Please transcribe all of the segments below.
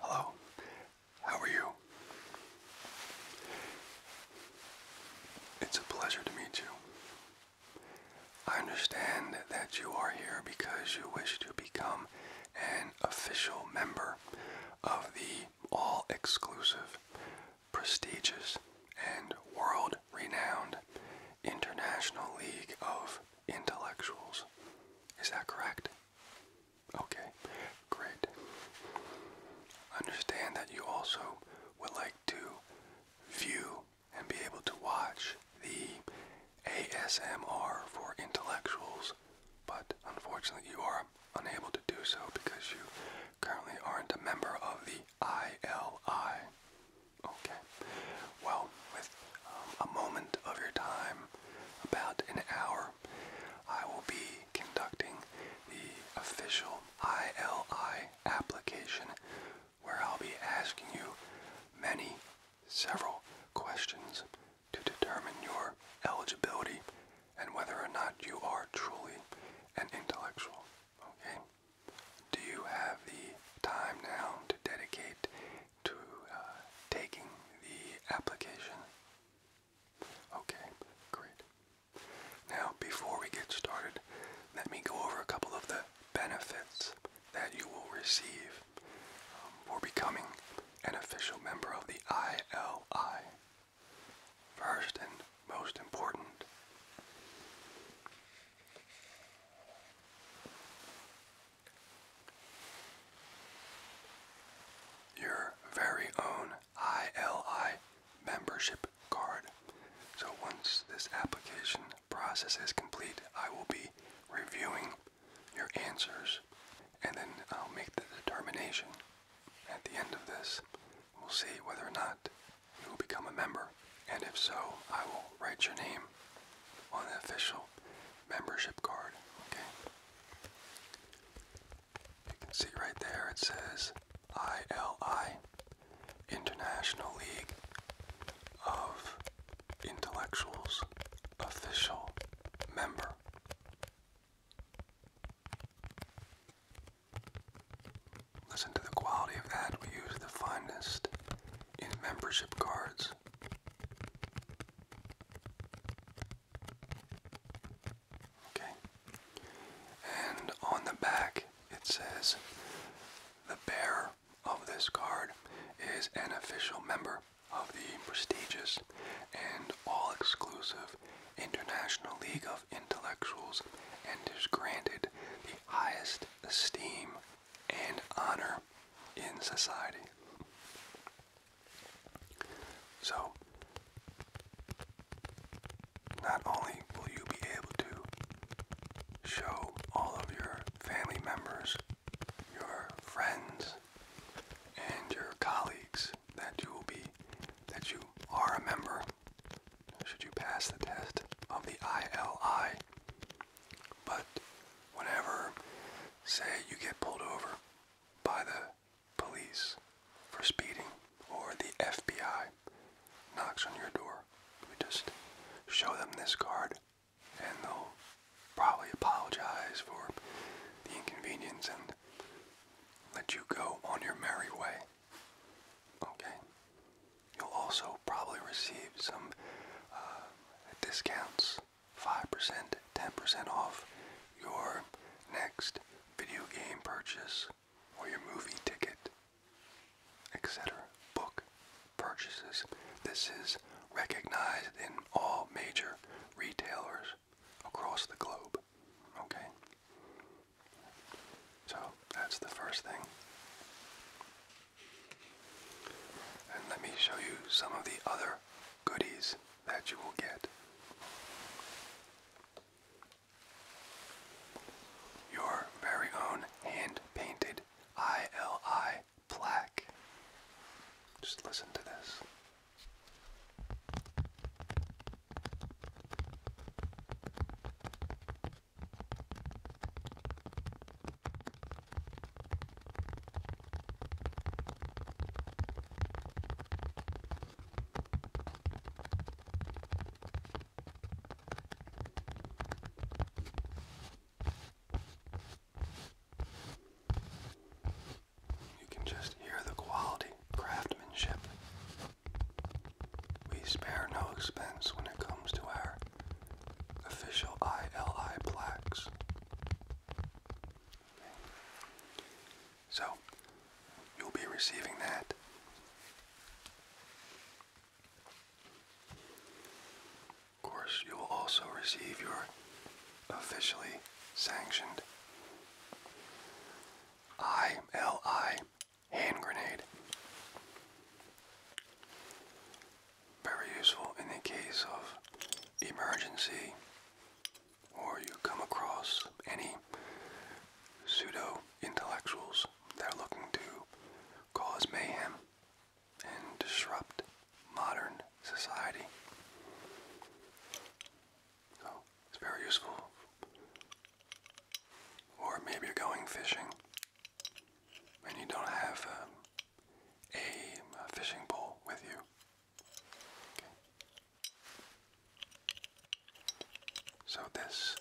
Hello, how are you? It's a pleasure to meet you. I understand that you are here because you wish to become an official member of the all exclusive, prestigious, and world renowned International League of Intellectuals. Is that correct? Okay, great. Understand that you also would like to view and be able to watch the ASMR for intellectuals, but unfortunately you are unable to do so because you currently aren't a member of the ILI. Okay, well, with um, a moment of your time, about an hour I will be conducting the official ILI application where I'll be asking you many, several questions to determine your eligibility and whether or not you are truly an intellectual. Okay? Do you have the time now to dedicate to uh, taking the application? Okay, great. Now, before we get started, let me go over a couple of the benefits that you will receive um, for becoming an official member of the ILI. First and most important, your very own ILI membership card. So once this application process is complete, I will be reviewing your answers and then I'll make the determination at the end of this. We'll see whether or not you will become a member. And if so, I will write your name on the official membership card. Okay. You can see right there it says ILI, International League of Intellectuals Official Member. Listen to the quality of that. We use the finest in membership cards. Okay. And on the back it says the bearer of this card is an official member of the prestigious and all exclusive International League of Intellectuals and is granted the highest esteem and honor in society. So, not only will you be able to show all of your family members, your friends, and your colleagues that you will be that you are a member should you pass the test of the ILI. But whenever say you get pulled over by the police for speeding or the FBI knocks on your door, you just show them this card and they'll probably apologize for the inconvenience and let you go on your merry way. Okay. You'll also probably receive some uh, discounts 5%, 10% off your next video game purchase or your movie ticket, etc. Book purchases. This is recognized in all major retailers across the globe. Okay? So that's the first thing. And let me show you some of the other goodies that you will get. Your very own hand painted ILI plaque. Just listen to this. You can just hear the quality craftsmanship. We spare no expense when it comes to our official ILI plaques. So, you'll be receiving that. Of course, you will also receive your officially sanctioned ILI hand grenade. Very useful in the case of emergency or you come across any pseudo intellectuals that are looking to cause mayhem and disrupt modern society. So it's very useful. Or maybe you're going fishing and you don't have um, a fishing pole with you. So this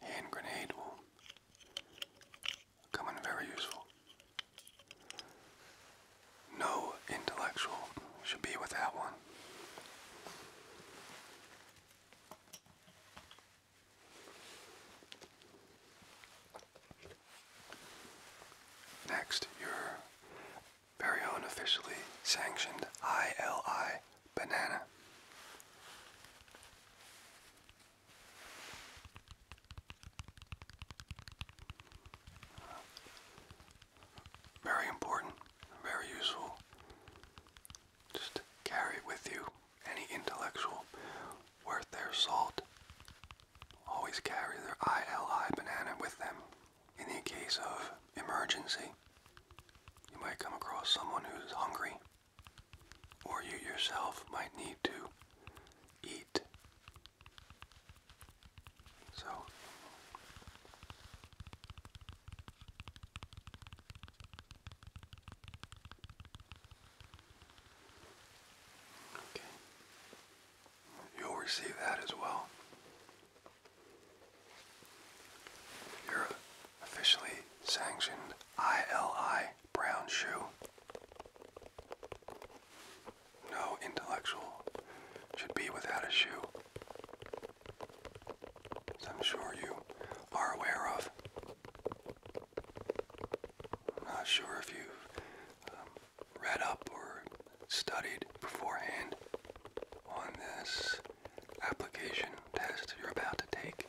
hand grenade will come in very useful. No intellectual should be without one. Next, your very unofficially sanctioned ILI banana. Very important, very useful. Just carry with you any intellectual worth their salt always carry their ILI banana with them. In the case of emergency, you might come across someone who's hungry, or you yourself might need to eat. So, Okay. You'll receive that as well. You're officially sanctioned ILI Brown Shoe. No intellectual should be without a shoe. As I'm sure you are aware of. I'm not sure if you've um, read up or studied beforehand on this application test you're about to take.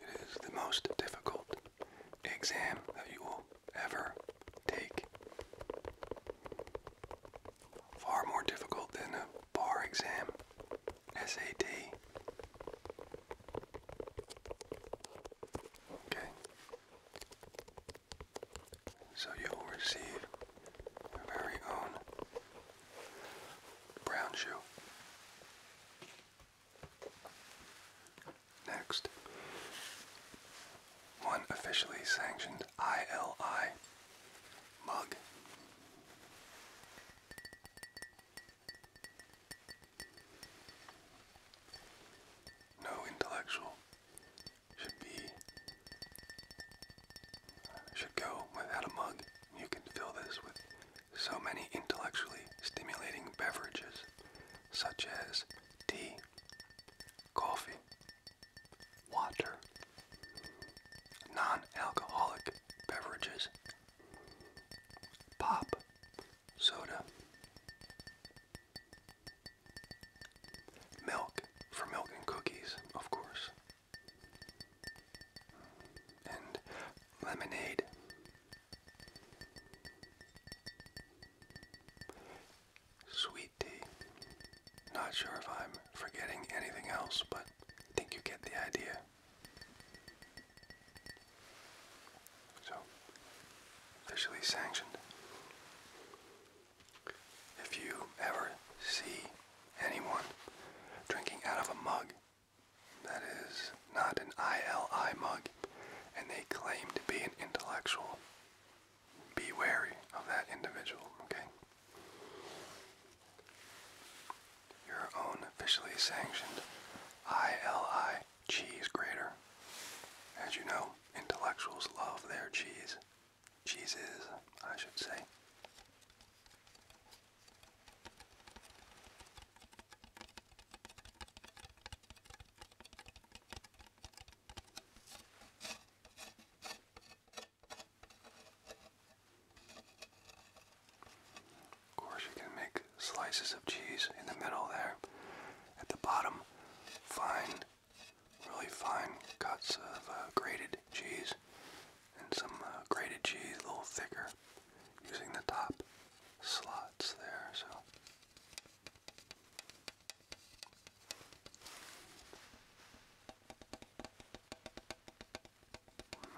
It is the most difficult exam that you will ever take far more difficult than a bar exam, SAT. Okay. So you will receive your very own brown shoe. Next, one officially sanctioned ILI mug. No intellectual should be should go without a mug. You can fill this with so many intellectually stimulating beverages such as tea, coffee, water, non-alcoholic beverages, pop, soda, milk for milk and cookies, of course, and lemonade. Sweet tea. Not sure if I'm forgetting anything else, but I think you get the idea. So, officially sanctioned. If you ever see anyone drinking out of a mug that is not an ILI mug and they claim to be an intellectual, be wary of that individual, okay? Your own officially sanctioned ILI cheese grater. As you know, intellectuals love their cheese. Cheeses, I should say. Of course, you can make slices of cheese in the middle there. At the bottom, fine, really fine cuts of uh, grated cheese and some uh, grated cheese, a little thicker, using the top slots there. So.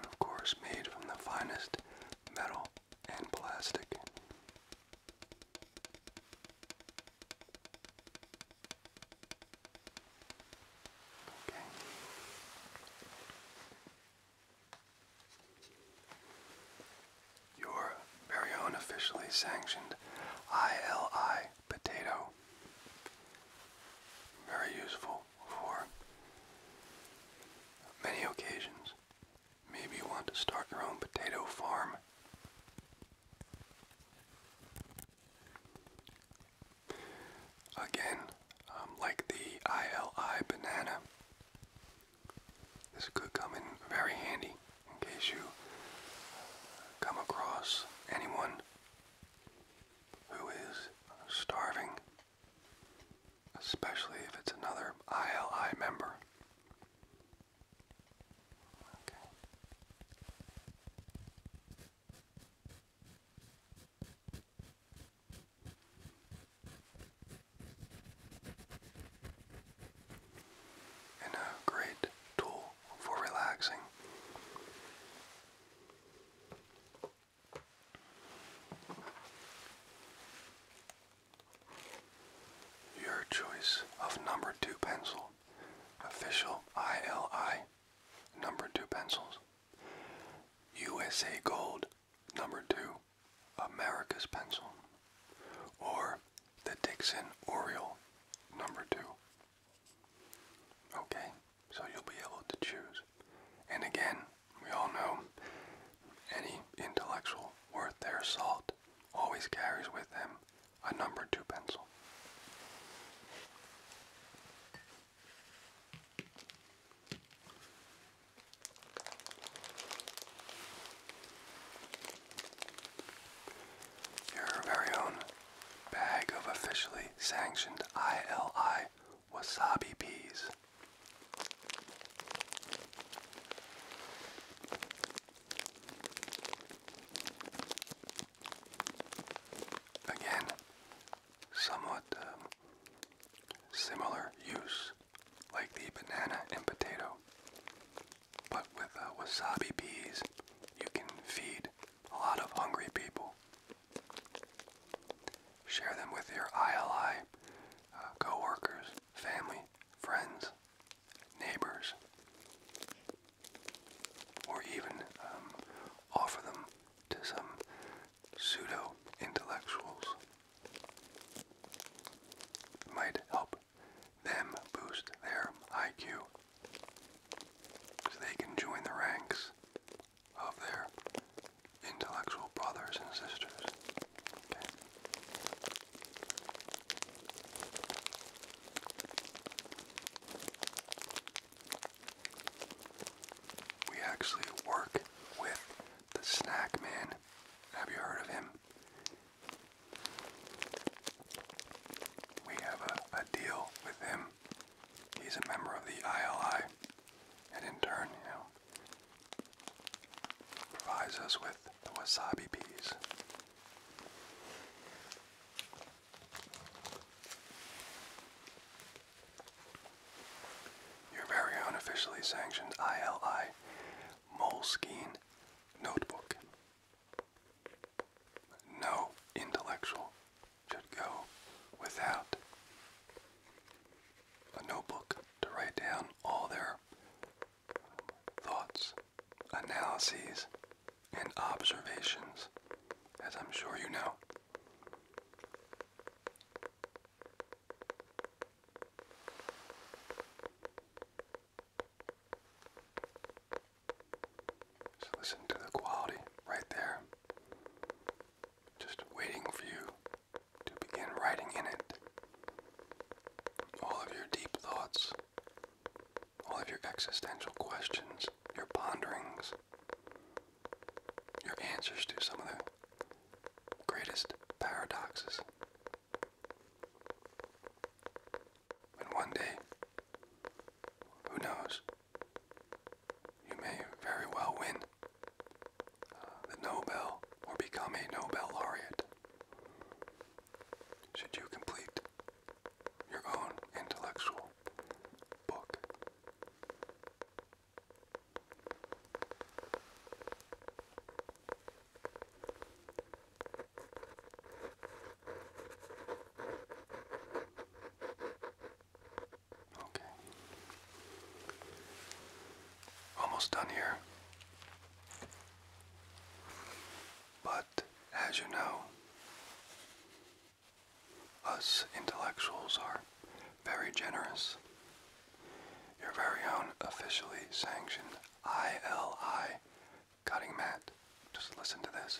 Of course, made from the finest metal and plastic. Your very own officially sanctioned ILI potato. Very useful for many occasions. Maybe you want to start your own potato farm. Again, um, like the ILI banana, this could come in very handy in case you come across anyone who is starving especially if it's another ILI member. And a great tool for relaxing. Your choice of number two pencil. Official ILI number two pencils. USA Gold number two America's pencil. Or the Dixon Oriole number two. Okay, so you'll be able to choose. And again, we all know any intellectual worth their salt always carries with them a number two pencil. Your very own bag of officially sanctioned ILI wasabi peas. Again, somewhat um, similar use, like the banana and potato. But with uh, wasabi peas, you can feed a lot of hungry people. Share them with your ILI uh, coworkers, family, friends, neighbors, or even um, offer them to some pseudo intellectuals. Might help them boost their IQ so they can join the ranks of their intellectual brothers and sisters. We actually work with the snack man. Have you heard of him? We have a deal with him he's a member of the ILI, and in turn, you know, provides us with the wasabi peas. Your very unofficially officially sanctioned ILI Moleskine Notebook. No intellectual should go without a notebook to write down all their thoughts, analyses, and observations, as I'm sure you know. So listen to the quality right there just waiting for you to begin writing in it. All of your deep thoughts, all of your existential questions, your ponderings, your answers to some of the greatest paradoxes. And one day, who knows, you may very well win uh, the Nobel or become a Nobel laureate should you complete your own intellectual book. Okay. Almost done here. But as you know, us intellectuals are very generous. Your very own officially sanctioned ILI cutting mat. Just listen to this.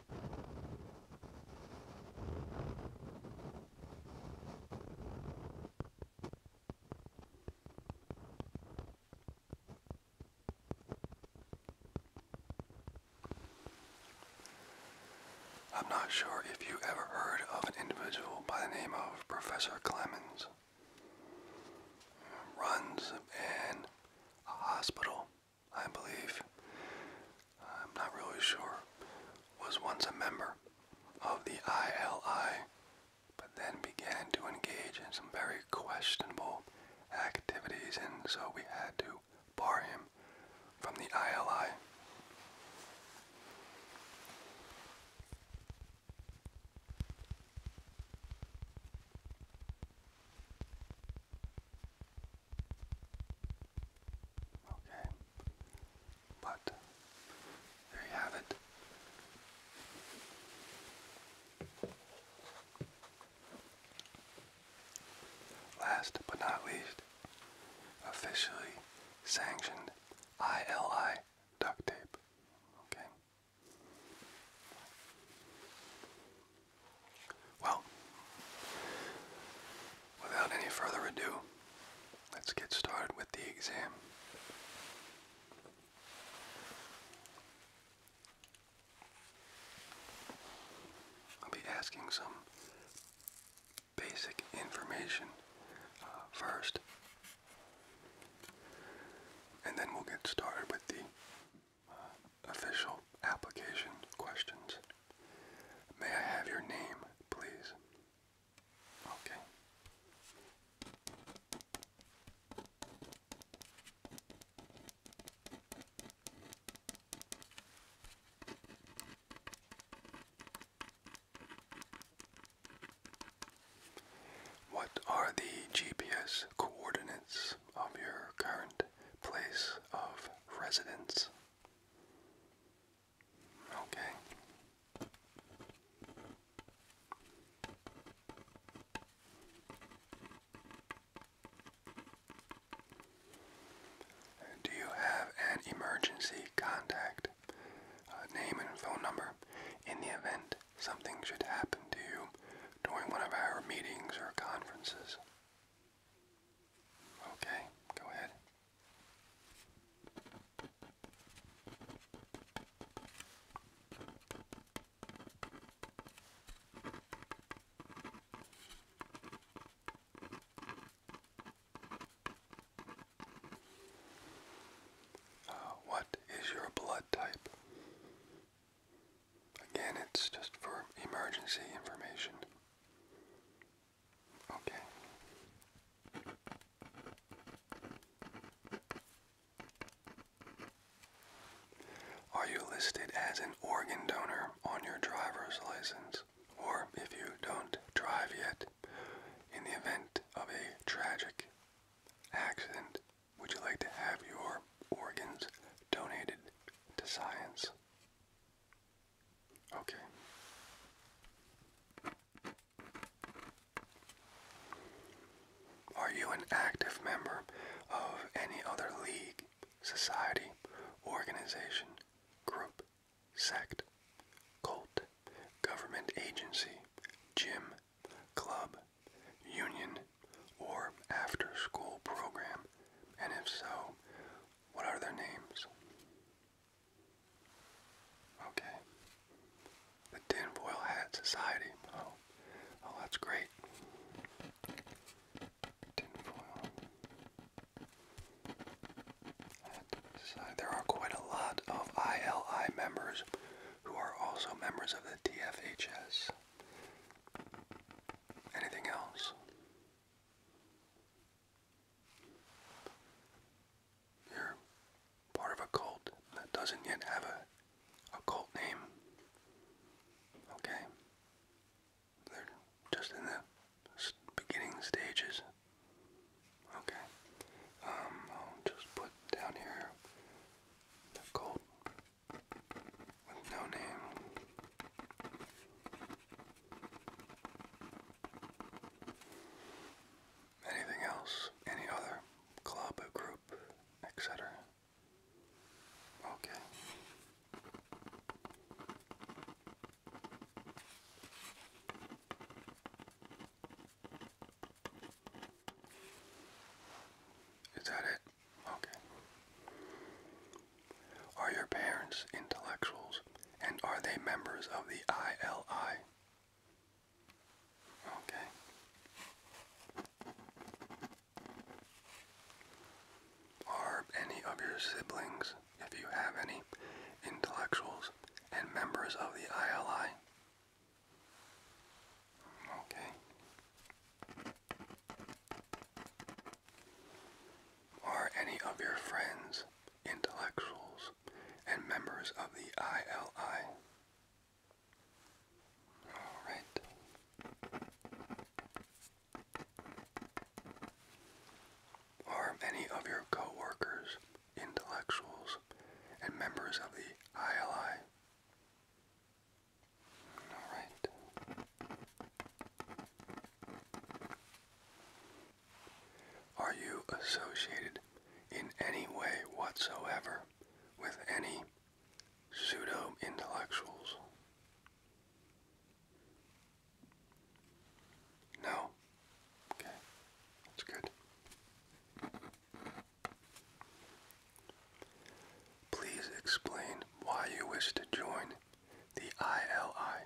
I'm not sure if you ever heard of an individual by the name of Professor Clemens. Runs an a hospital I believe, I'm not really sure, was once a member of the ILI, but then began to engage in some very questionable activities, and so we had to bar him from the ILI. Okay. But there you have it. Last but not least, officially sanctioned ILI duct tape. Okay. Well, without any further ado, let's get started with the exam. I'll be asking some basic information uh, first, and then we'll get started with the uh, official application questions. May I have your name, please? Okay. What are the GPS coordinates of your current place of residence? Okay. Do you have an emergency contact, uh, name and phone number, in the event something should happen to you during one of our meetings or conferences? Okay, go ahead. Uh, what is your blood type? Again, it's just for emergency information. Okay. Are you listed as an organ donor on your driver's license? Or if you don't drive yet, in the event of a tragic accident, would you like to have your organs donated to science? Okay. Are you an active member of any other league, society, organization, group, sect, cult, government agency, gym, club, union, or after school program? And if so, what are their names? Okay. The Tinfoil Hat Society. Oh, oh, that's great. Tinfoil Hat Society. There are quite a lot of ILI members who are also members of the TFHS. Anything else? You're part of a cult that doesn't yet have a, a cult name. Okay? They're just in the beginning stages. Okay. Um, I'll just put down here the cult with no name. Anything else? Any other club, or group, etc.? Okay. Is that it? Okay. Are your parents intellectuals and are they members of the ILI? Okay. Are any of your siblings, if you have any, intellectuals and members of the ILI? Okay. Are any of your friends intellectuals, and members of the ILI. All right. Are any of your co intellectuals and members of the ILI? All right. Are you associated in any way whatsoever with any pseudo intellectuals? No? Okay, that's good. Please explain why you wish to join the ILI.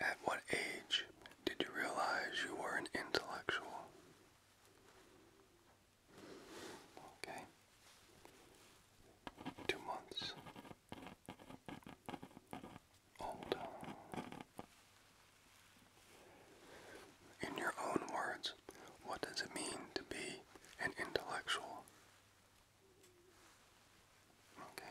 At what age did you realize you were an intellectual? Okay. Two months old. In your own words, what does it mean to be an intellectual? Okay.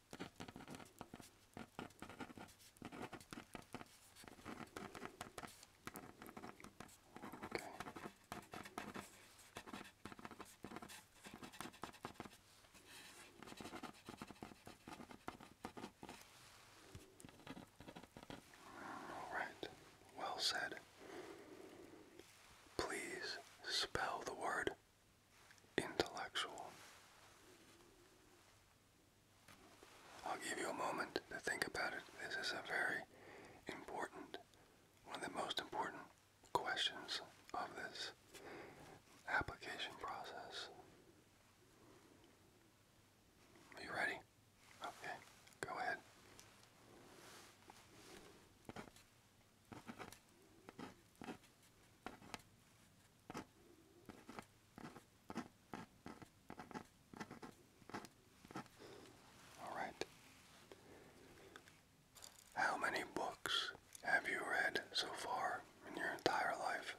All right. Well said. Please spell the word intellectual. I'll give you a moment to think about it. This is a very important, one of the most important questions of this application process. Are you ready? Okay, go ahead. All right. How many books have you read so far in your entire life?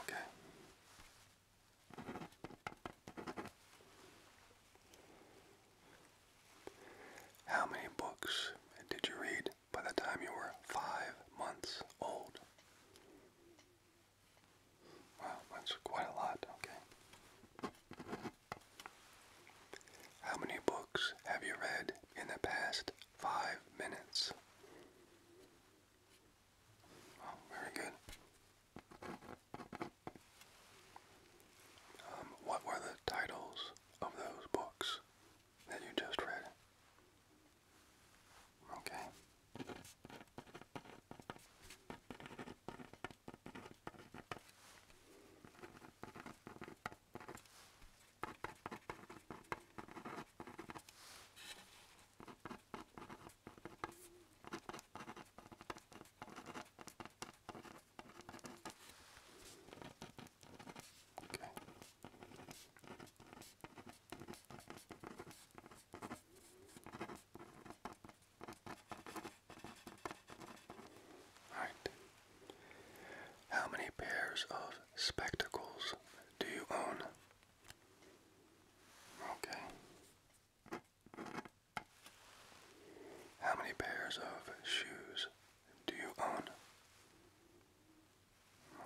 Okay. How many books did you read by the time you were five months old? Wow, that's quite a lot, okay. How many books have you read in the past five minutes? Oh, very good. Um, what were the titles of those books that you just read? Okay. Okay. All right. How many pairs of spectacles do you own? Okay. How many pairs of shoes do you own?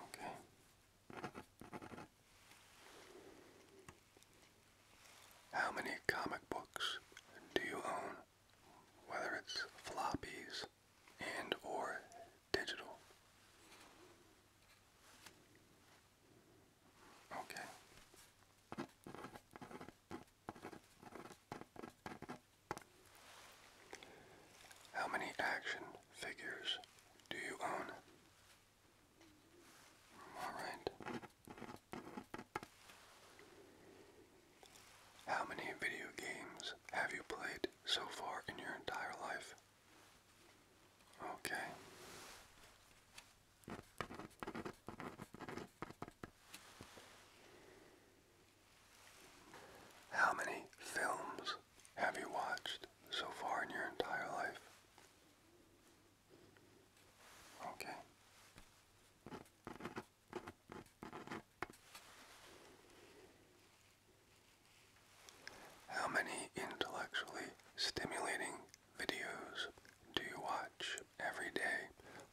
Okay. How many comic books do you own? Whether it's floppies and or digital. Okay. How many action figures do you own? All right. How many video games have you played so far in your entire life? Okay. How many films have you watched so far in your entire life? Okay. How many intellectually stimulating videos do you watch every day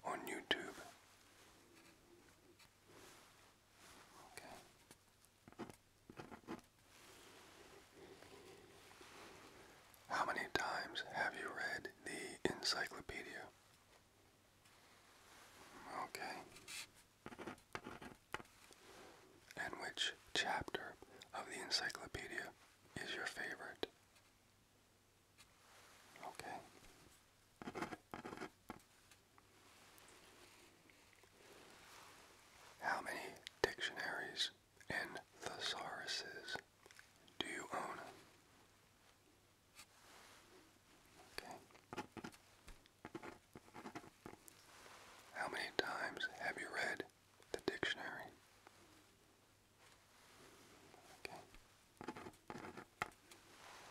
on YouTube? How many times have you read the encyclopedia? Okay. And which chapter of the encyclopedia is your favorite? Okay. How many dictionaries and thesauruses do you own? Okay. How many times have you read the dictionary?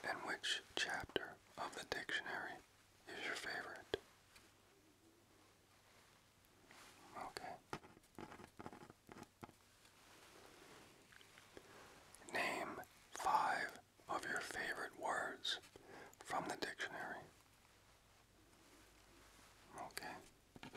And which chapter of the dictionary is your favorite? Okay. Name five of your favorite words from the dictionary. Okay.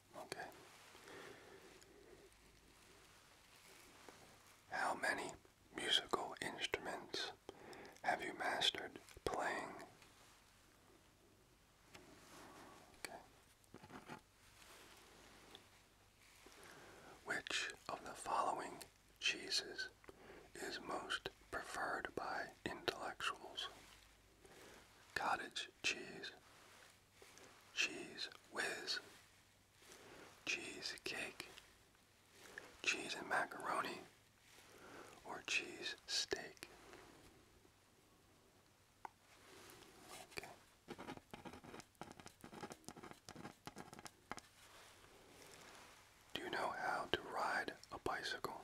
Okay. How many musical instruments have you mastered playing? Okay. Which of the following cheeses is most preferred by intellectuals? Cottage cheese, Cheese whiz, cheesecake, cheese and macaroni, or cheese steak. Okay. Do you know how to ride a bicycle?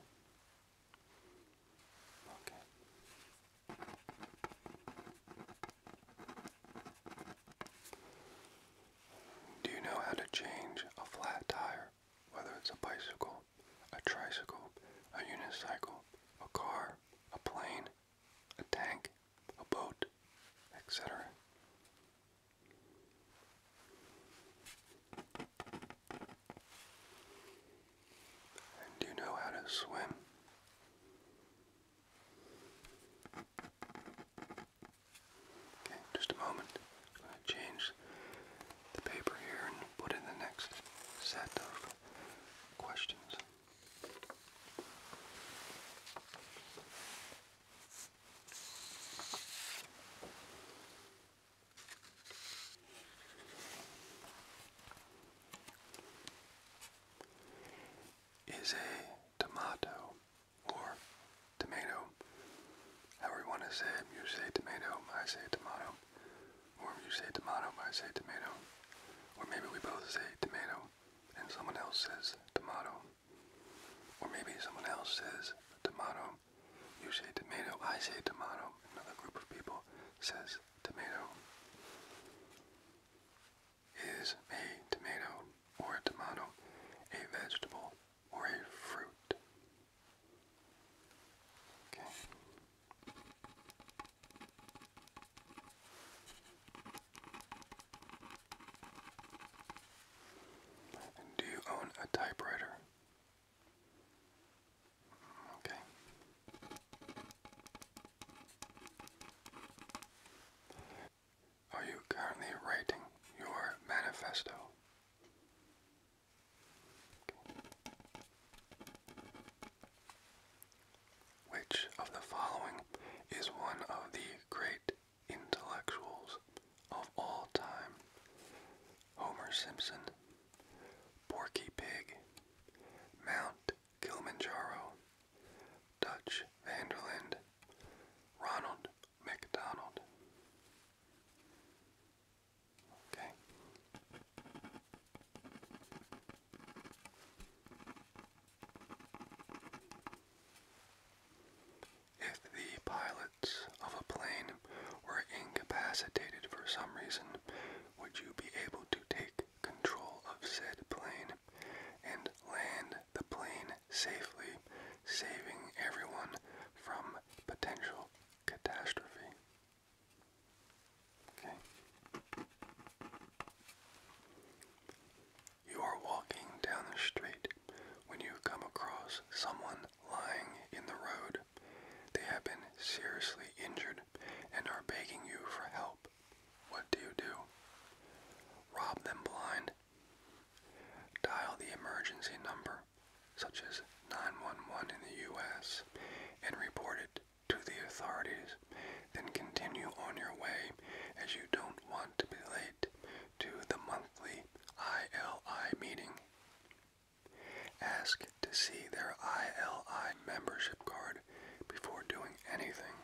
Okay. Do you know how to change a flat tire? Whether it's a bicycle, a tricycle, a unicycle, a car, a plane, a tank, a boat, etc. do you know how to swim? Okay, just a moment. I'm change the paper here and put in the next set of questions is a tomato or tomato. However you want to say it, you say tomato, I say tomato. Or you say tomato, I say tomato. Or maybe we both say tomato and someone else says tomato. Or maybe someone else says tomato. You say tomato, I say tomato. Another group of people says tomato is a tomato or a tomato a vegetable or a fruit? Okay. do you own a typewriter? Okay. Are you currently writing your manifesto? Which of the following is one of the great intellectuals of all time? Homer Simpson, Porky Pig, Mount Kilimanjaro, Dutch Vanderland, Ronald McDonald. Okay. If the pilots of a plane were incapacitated for some reason, would you be able to take control of said plane? and land the plane safely, saving everyone from potential catastrophe. Okay. You are walking down the street when you come across someone lying in the road. They have been seriously injured and are begging you for help what do you do? Rob them blind. Dial the emergency number, such as 911 in the U.S., and report it to the authorities. Then continue on your way as you don't want to be late to the monthly ILI meeting. Ask to see their ILI membership card before doing anything.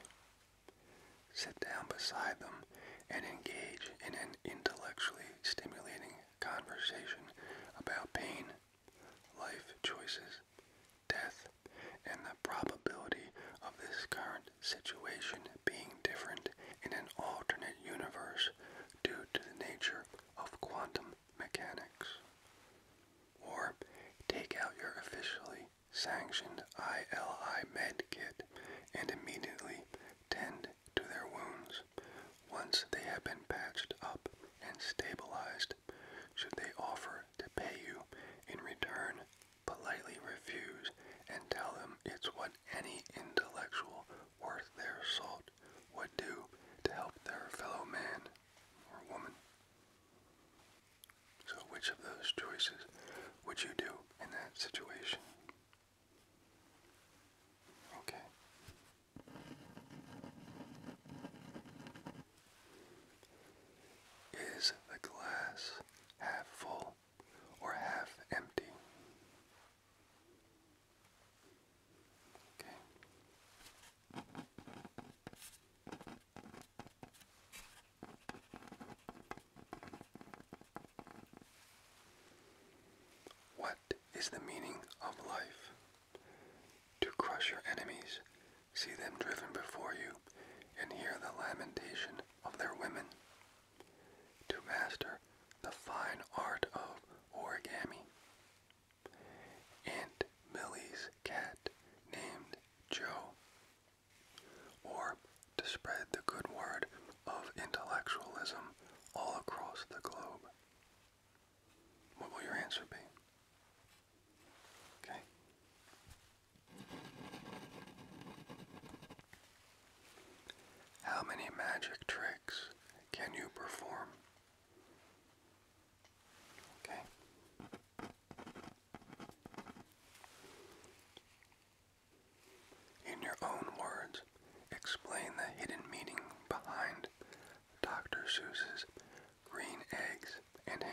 Sit down beside them and engage in an intellectually stimulating conversation about pain, life choices, death, and the probability of this current situation being different in an alternate universe due to the nature of quantum mechanics. Or take out your officially sanctioned ILI med kit and immediately tend to their wounds once they have been patched up and stabilized. Should they offer to pay you in return, politely refuse and tell them it's what any intellectual worth their salt would do to help their fellow man or woman. So, which of those choices would you do in that situation? Okay. Is the glass half full or half empty? Okay. What is the meaning of life? To crush your enemies, see them driven before you, and hear the lamentation of their women. To master the fine art of origami. And Millie's cat named Joe or to spread the good word of intellectualism all across the globe? What will your answer be? Okay. How many magic tricks can you perform? Okay. In your own words, explain the hidden meaning behind Dr. Seuss's green eggs and ham.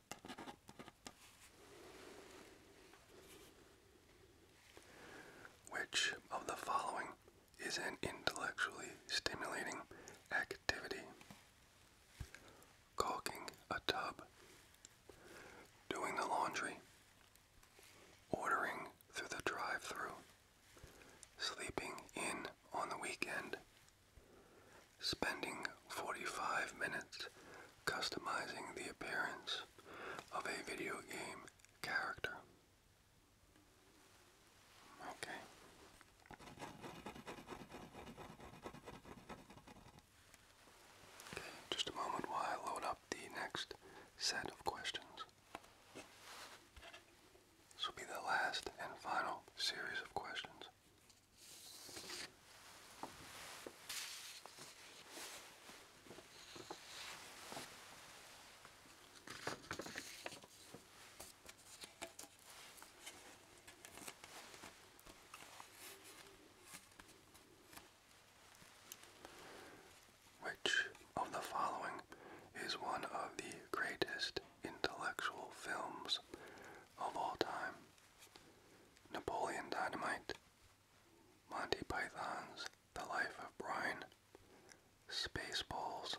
Which of the following is an intellectually stimulating activity? Caulking a tub, doing the laundry, ordering through the drive through, sleeping in on the weekend, Spending 45 minutes customizing the appearance of a video game character. Okay. just a moment while I load up the next set of questions. This will be the last and final series of questions. Which of the following is one of the greatest intellectual films of all time? Napoleon Dynamite, Monty Python's The Life of Brian, Spaceballs,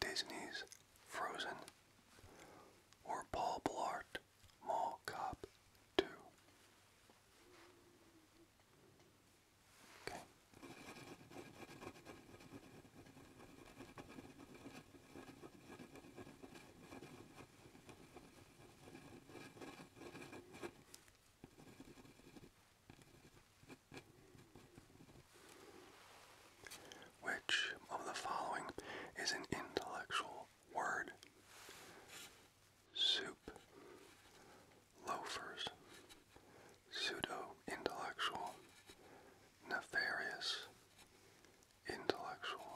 Disney's Frozen, or Paul Blart Mall Cop 2. Okay. Which of the following is an intellectual word? Soup, loafers, pseudo intellectual, nefarious, intellectual.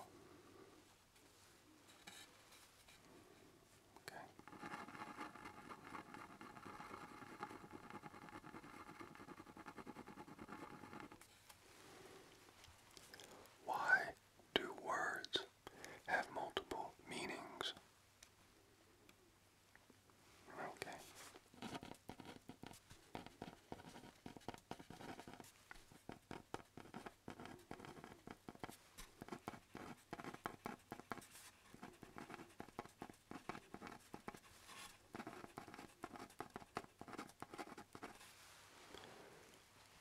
Okay. Why do words have multiple meanings? Okay.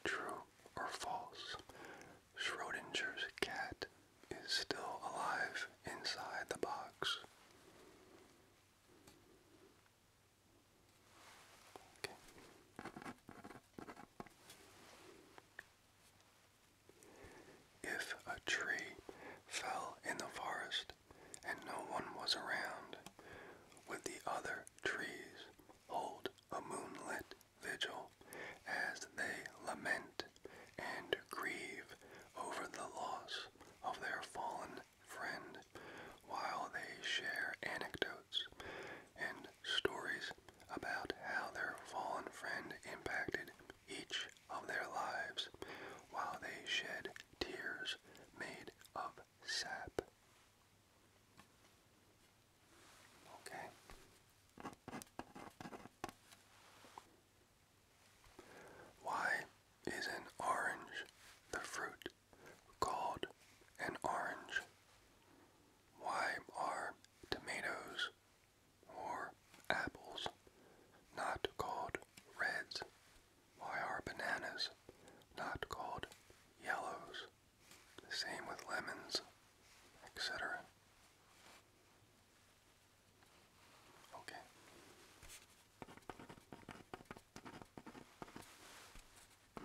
True or false? Schrodinger's cat is still alive inside the box. Okay. If a tree fell in the forest and no one was around, would the other trees hold a moonlit vigil as they lament and grieve over the loss of their fallen friend while they share anecdotes and stories about how their fallen friend impacted each of their lives while they shed tears made of sap. Okay. Why is an orange the fruit called an orange? Why are tomatoes or apples not called reds? Why are bananas not called yellows? same with lemons, etc. Okay.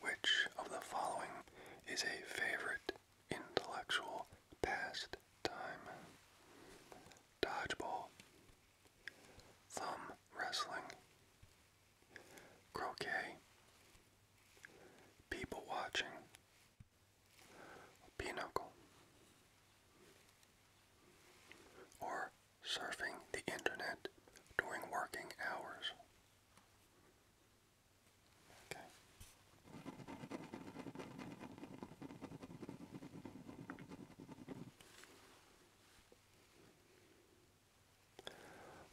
Which of the following is a favorite intellectual pastime? Dodgeball, thumb wrestling, croquet, people watching, pinochle, or surfing the internet during working hours.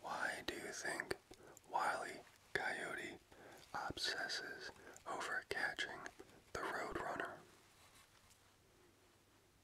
Why do you think Wiley Coyote obsesses over catching the Roadrunner?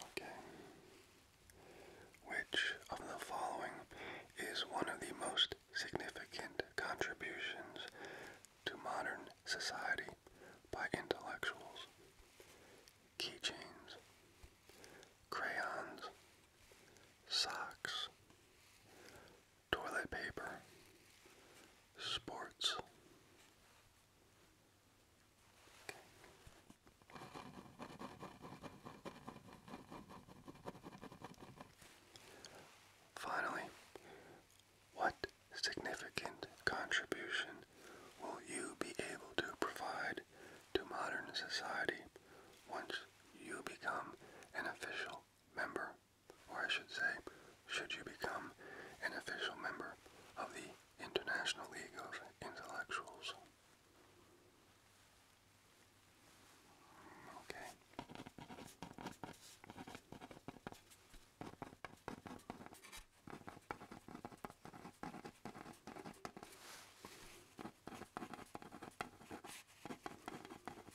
Okay. Which of the following is one of the most significant contributions to modern society by intellectuals? Keychains, crayons, socks, toilet paper, sports. Finally, what significant contribution will you be able to provide to modern society once you become an official member or I should say, should you become an official member of the International League of Intellectuals. Okay.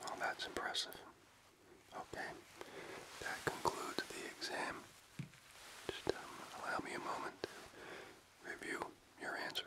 Well, that's impressive. Okay, that concludes the exam. Just um, allow me a moment to review your answers.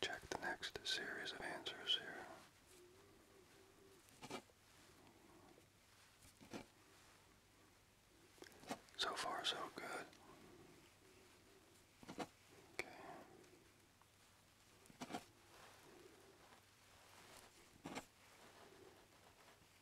Check the next series of answers here. So far, so good. Okay.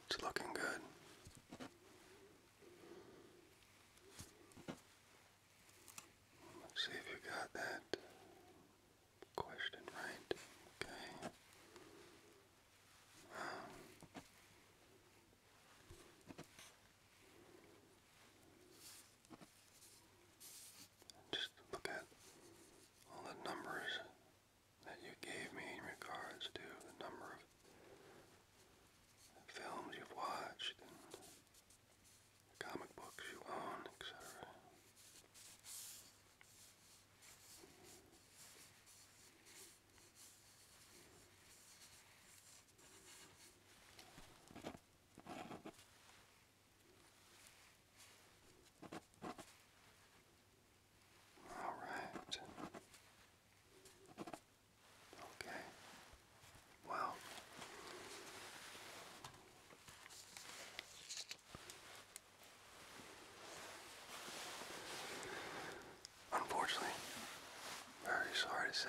It's looking good. see if you got that question right. Okay. Um, just look at all the numbers that you gave me in regards to the number of films you've watched comic books you own, etc. All right. Okay. Well, unfortunately, very sorry to say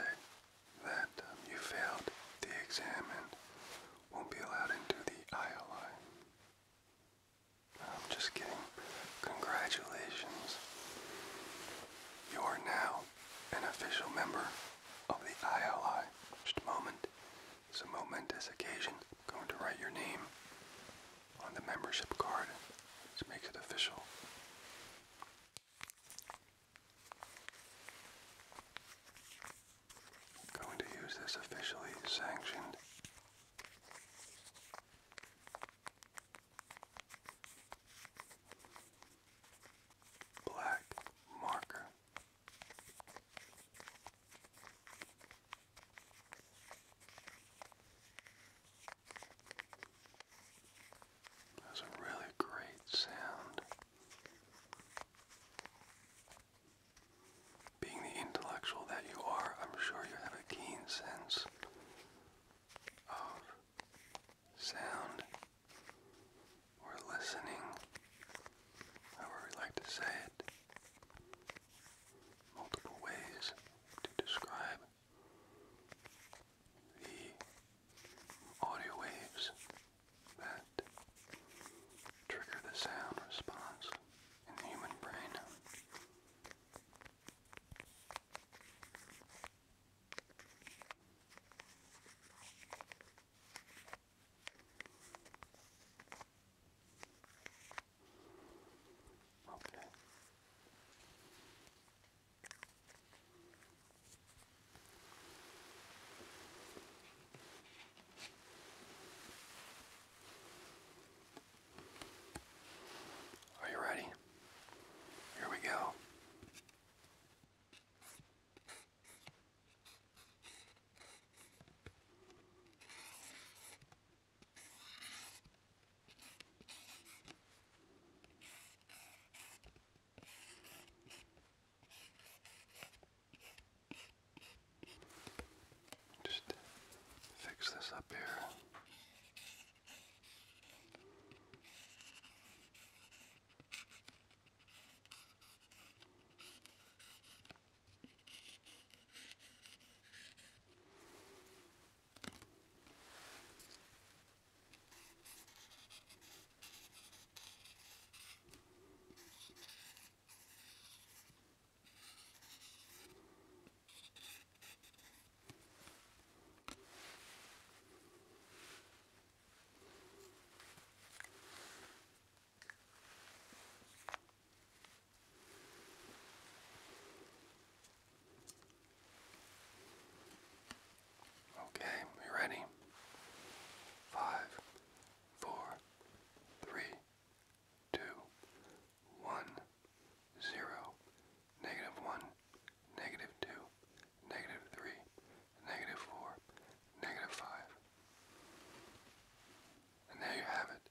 that um, you failed the exam and won't be allowed into the ILI. I'm just kidding. Congratulations. You are now an official member of the ILI. Just a moment. It's a momentous occasion. going to write your name on the membership card. This makes it official. going to use this officially sanctioned Black marker. That's a really great sound. Being the intellectual that you are, I'm sure you have a keen sense of sound or listening, however we like to say it. Multiple ways to describe the audio waves that trigger the sound response in the human brain. Okay. Are you ready? Here we go. Just fix this up here. Okay, we ready? Five, four, three, two, one, zero, negative one, negative two, negative three, negative four, negative five. And there you have it.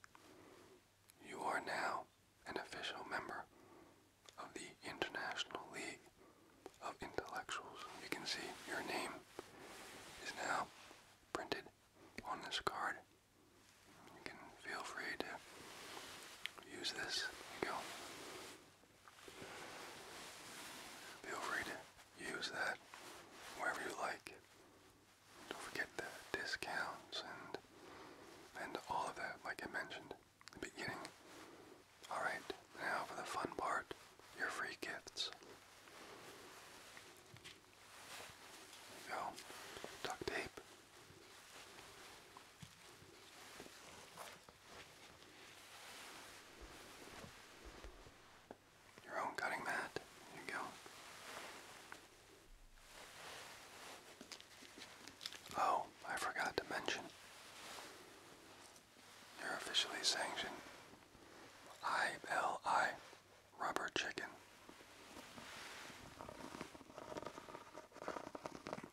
You are now an official member of the International League of Intellectuals. You can see your name is now printed on this card you can feel free to use this. go. Feel free to use that wherever you like. Don't forget the discounts and and all of that, like I mentioned the beginning. Alright, now for the fun part, your free gifts go. Duct tape. Your own cutting mat. you go. Oh, I forgot to mention. You're officially sanctioned. ILI rubber chicken.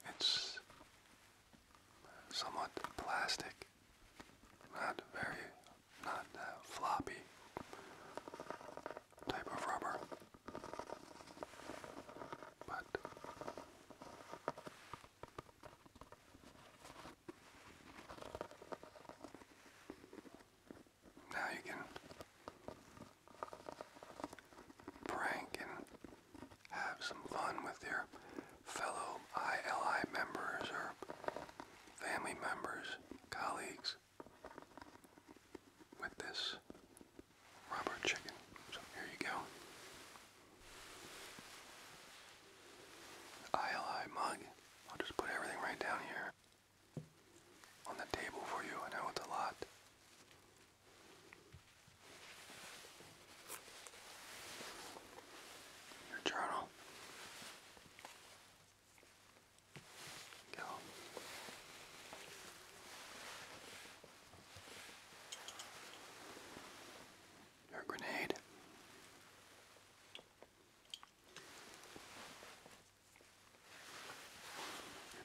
It's somewhat plastic, not very, not uh, floppy type of rubber, but now you can prank and have some fun with your fellow ILI members or family members, colleagues with this rubber chicken. So here you go. ILI mug. I'll just put everything right down here on the table for you. and I want a lot. Your journal. Go. Your grenade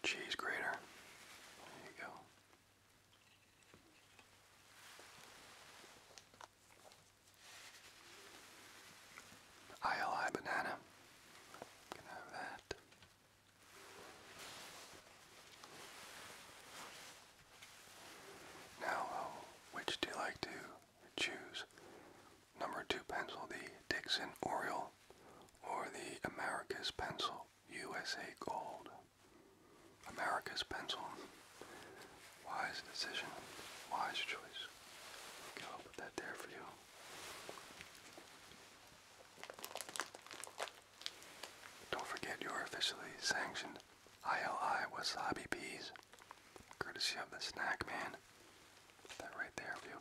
cheese grater. There you go. ILI banana. Can have that. Now, uh, which do you like to choose? Number two pencil, the Dixon Oriole or the America's Pencil USA Gold. America's Pencil. Wise decision. Wise choice. Okay, put that there for you. Don't forget your officially sanctioned ILI Wasabi Peas, courtesy of the Snack Man that right there for you.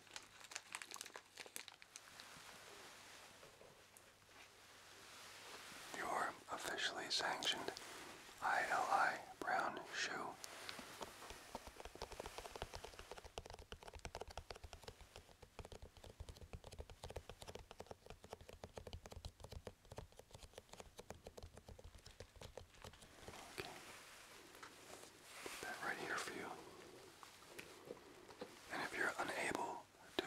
Your officially sanctioned ILI brown shoe. Okay that right here for you. And if you're unable to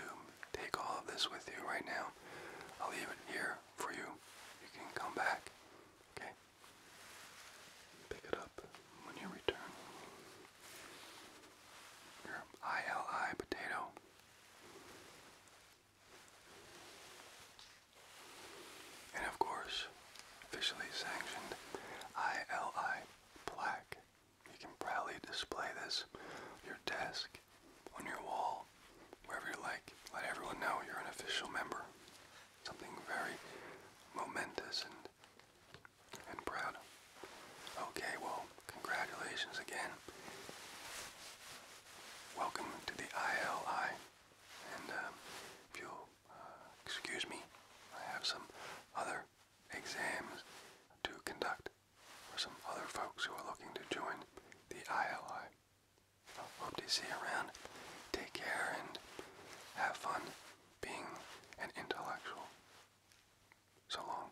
take all of this with you right now, I'll leave it here for you. You can come back, okay? Pick it up when you return. Your ILI potato. And of course, officially sanctioned ILI plaque. You can proudly display this on your desk, on your wall, wherever you like. Let everyone know you're an official member. Something very momentous and and proud. Okay, well, congratulations again. Welcome to the ILI. And um, if you'll uh, excuse me, I have some other exams to conduct for some other folks who are looking to join the ILI. Hope to see you around. Take care and have fun being an intellectual. So long.